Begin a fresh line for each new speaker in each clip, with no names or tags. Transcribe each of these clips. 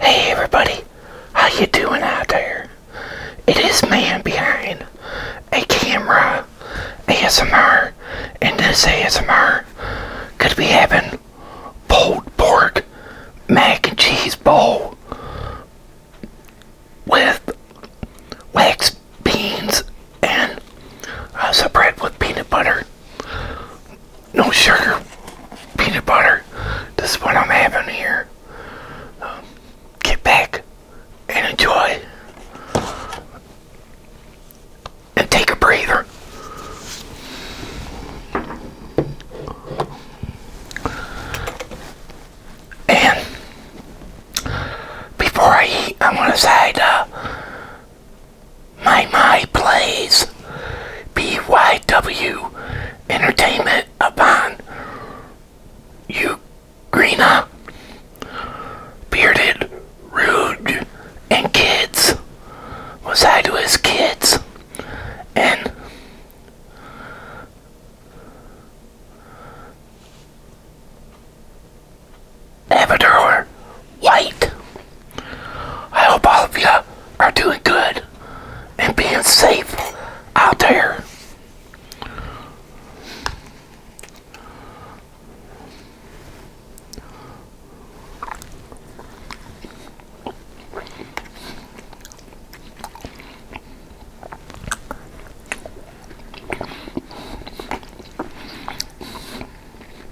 Hey everybody, how you doing out there? It is man behind a camera ASMR, and this ASMR could be having pulled pork mac and cheese bowl with wax beans and a uh, some bread with peanut butter no sugar peanut butter. This is what I'm having here. Um, get back and enjoy. And take a breather. And before I eat, I'm going to say. My My Plays by W. Entertainment upon you, Ugrina Bearded, Rude, and Kids was I to his kids and Avatar White. I hope all of you are doing good and being safe out there.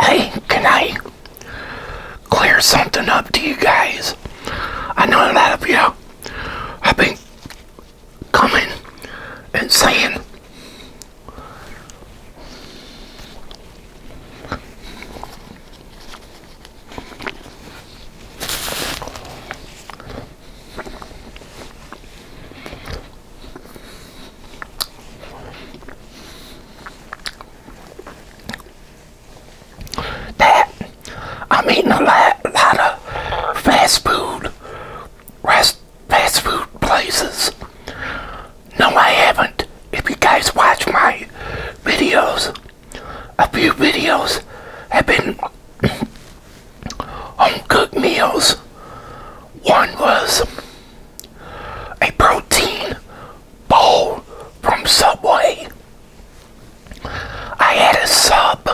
Hey, can I clear something up to you guys? I know a lot of you have been coming and saying that I'm eating a lot, lot of fast food, rest, fast food places. No, I haven't. If you guys watch my videos, a few videos have been home cooked meals. One was a protein bowl from Subway. I had a sub.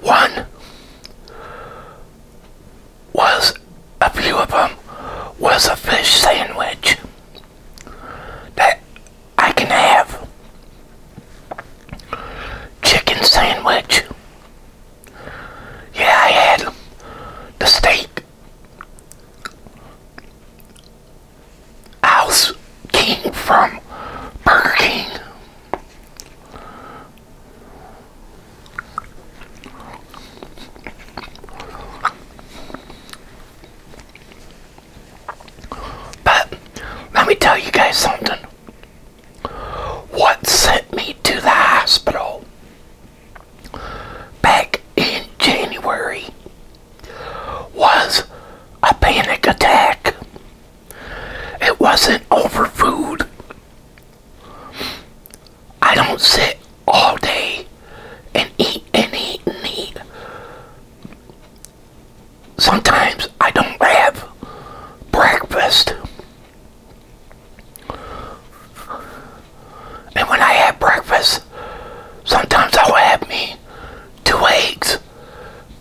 One was a few of them was a fish sandwich that I can have chicken sandwich. Yeah, I had the steak. I was King from Burger King. But let me tell you guys something. What sent me to the hospital back in January was a panic attack. It wasn't over food. I don't sit all day and eat and eat and eat sometimes I don't have breakfast. And when I have breakfast, sometimes I'll have me two eggs,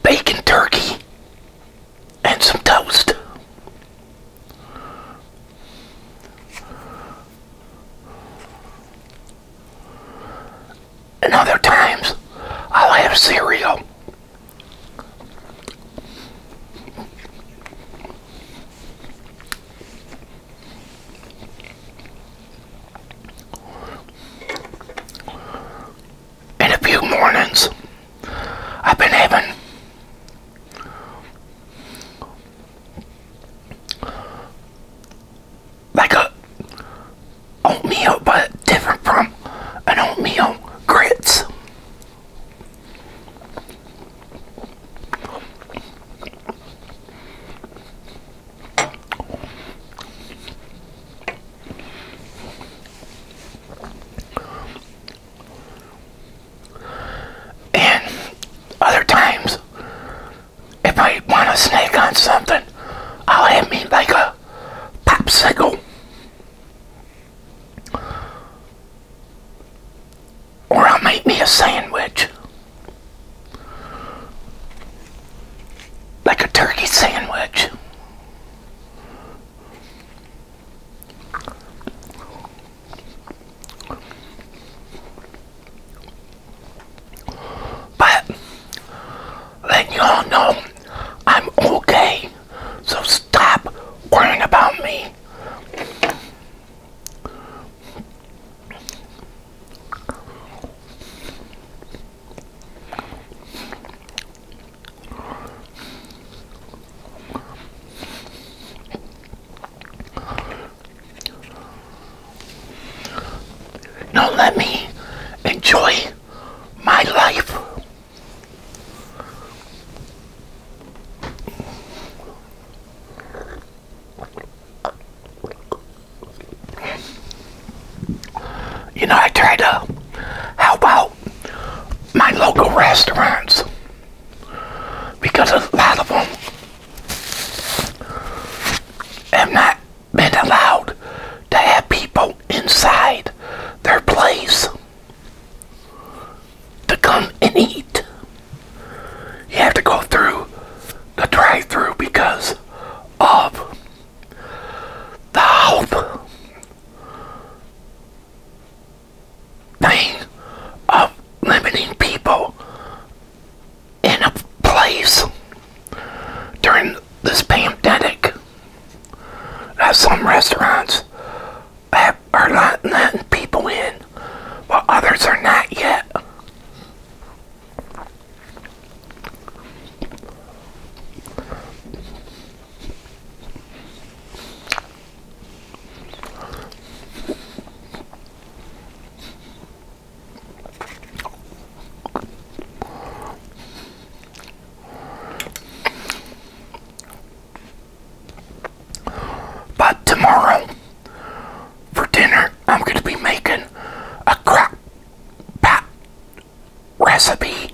bacon turkey, and some toast. In other times I'll have cereal. In a few mornings, I've been having like a oatmeal, but different from an oatmeal grits. And other times, if I want to snack on something, I'll have me like a popsicle or I'll make me a sandwich like a turkey sandwich but let you all know I'm okay. So stop worrying about me. Now let me enjoy my life. You know, I try to help out my local restaurants because a lot of them have not been allowed to have people inside their place to come and eat. You have to go through the drive through because of the health thing of limiting people in a place during this pandemic. Now some restaurants are not letting people in, while others are not yet. But tomorrow for dinner, I'm going to be making a crock recipe.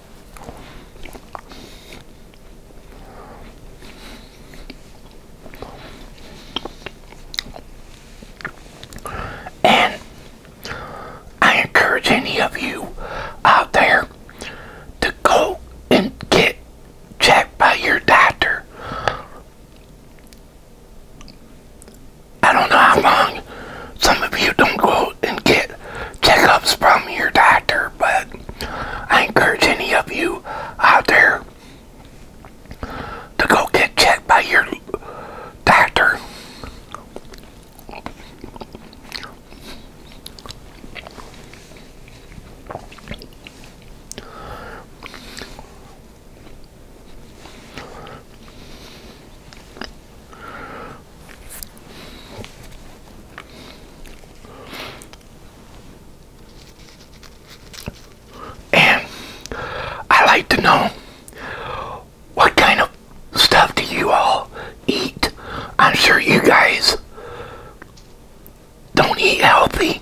And I encourage any of you out there to go and get checked by your doctor. I don't know how long some of you don't go and get checkups from your doctor, but I encourage any of you out there to go get checked by your doctor. And I like to know what kind of stuff do you all eat? I'm sure you guys don't eat healthy.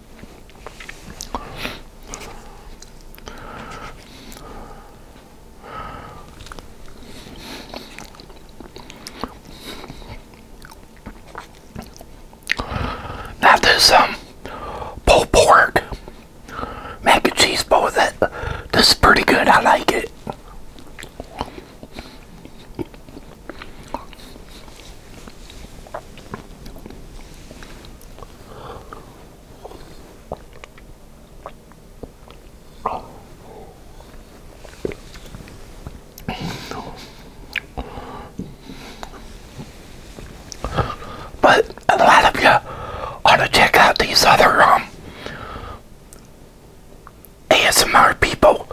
That is this um pulled pork mac and cheese bowl that this is pretty good. I like it. But a lot of you ought to check out these other um, ASMR people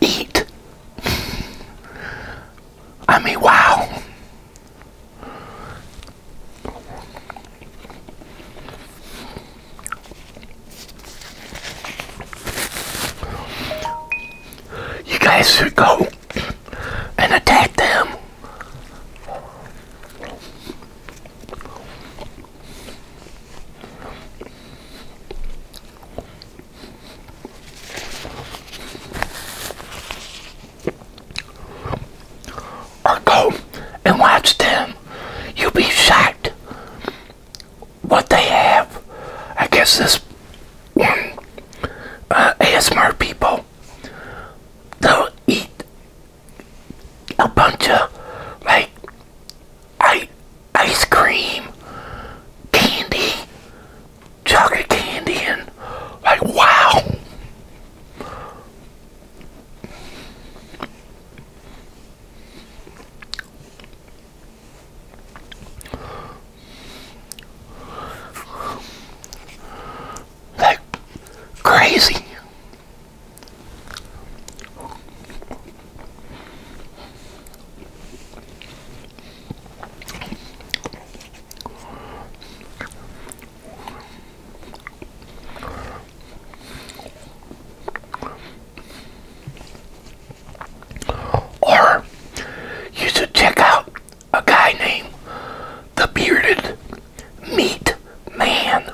eat. I mean, wow. You guys should go and attack them. Or go and watch them. You'll be shocked what they have. I guess this one uh, ASMR people, they'll eat a bunch of like I ice cream, candy, chocolate candy, and like, wow. Like crazy. Or you should check out a guy named the Bearded Meat Man.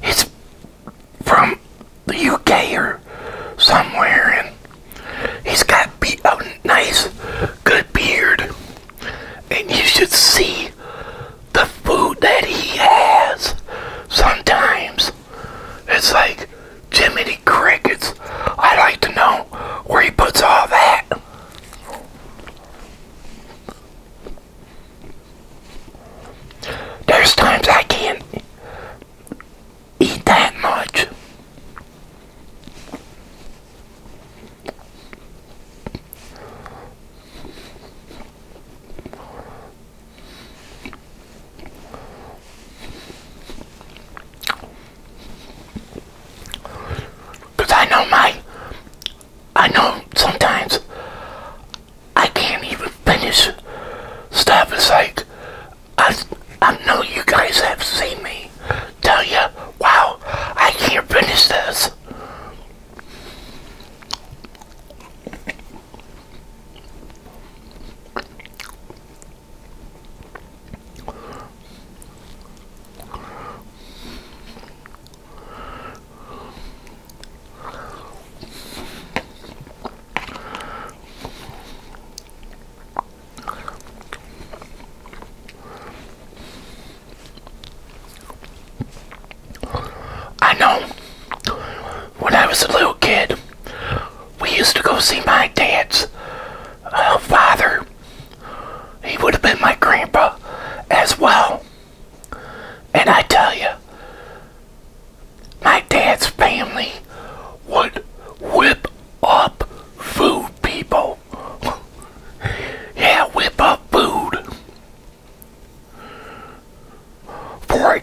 His from the UK or somewhere, and he's got be a nice, good beard, and you should see the food that he has. Sometimes it's like Jiminy Crickets. I would like to know where he puts all that. There's times I can't eat that much. Cause I know my, I know sometimes I can't even finish stuff. It's like, I, I know you guys have seen me tell you, wow, I can't finish this. I know when I was a little kid, we used to go see my dad's uh, father. He would have been my grandpa as well. And I tell you, my dad's family would whip up food, people. yeah, whip up food for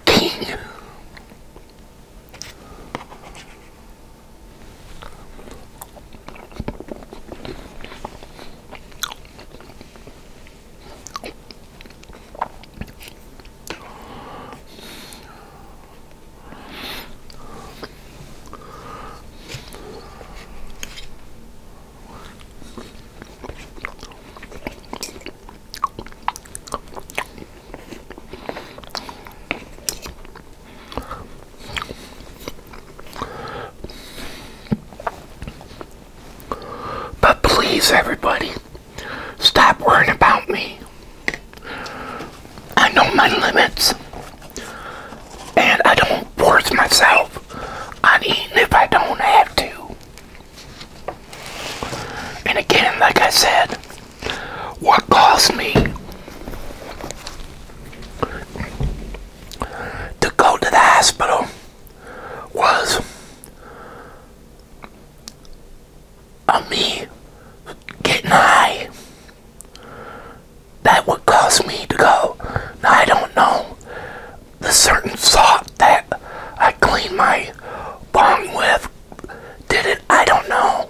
but please, everybody. Stop worrying about me. I know my limits. And I don't force myself on eating if I don't have to. And again, like I said, what caused me to go to the hospital was of me getting high that would cause me to go. I don't know the certain salt that I clean my bong with did it. I don't know.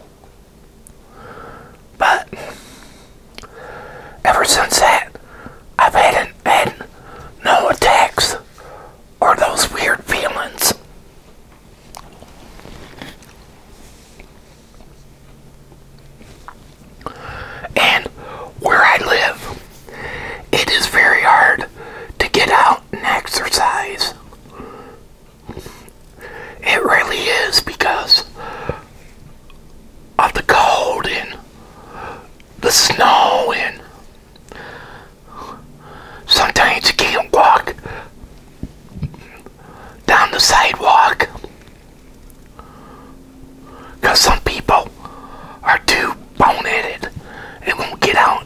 But ever since that, I've had, an, had no attacks are those weird feelings. And where I live, it is very hard to get out and exercise. It really is because of the cold and the snow and Sometimes you can't walk down the sidewalk because some people are too boneheaded and won't get out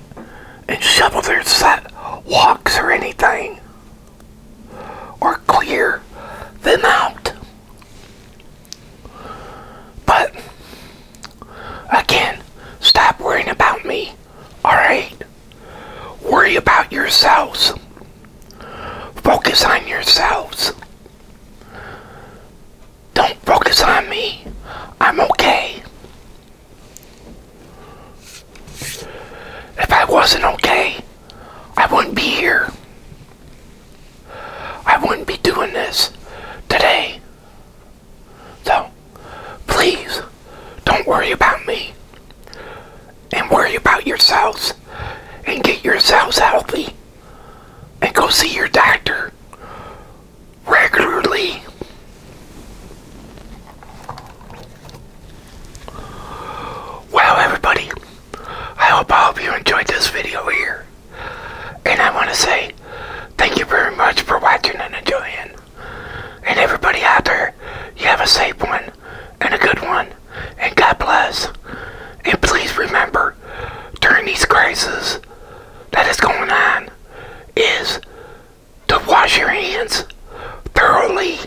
and shovel their sidewalks or anything or clear them out. But Again, stop worrying about me. Alright? Worry about yourselves. Focus on yourselves. Don't focus on me. I'm okay. If I wasn't okay, I wouldn't be here. I wouldn't be doing this today. So, please, don't worry about me. And worry about yourselves. And get yourselves healthy. And go see your doctor regularly. Well, everybody, I hope all of you enjoyed this video here. And I want to say thank you very much for watching and enjoying. And everybody out there, you have a safe one and a good one. And God bless. And please remember, during these crises that is going on, is to wash your hands thoroughly.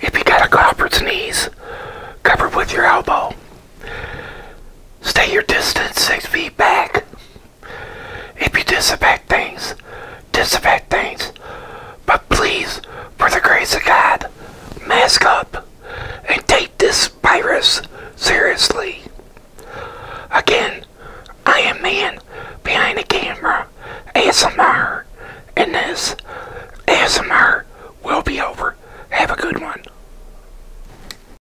If you got a cough or sneeze, cover with your elbow. Stay your distance six feet back. If you disinfect things, disinfect things. But please, for the grace of God, mask up and take this virus seriously. Again, I am man behind the camera, ASMR, and this ASMR will be over. Have a good one.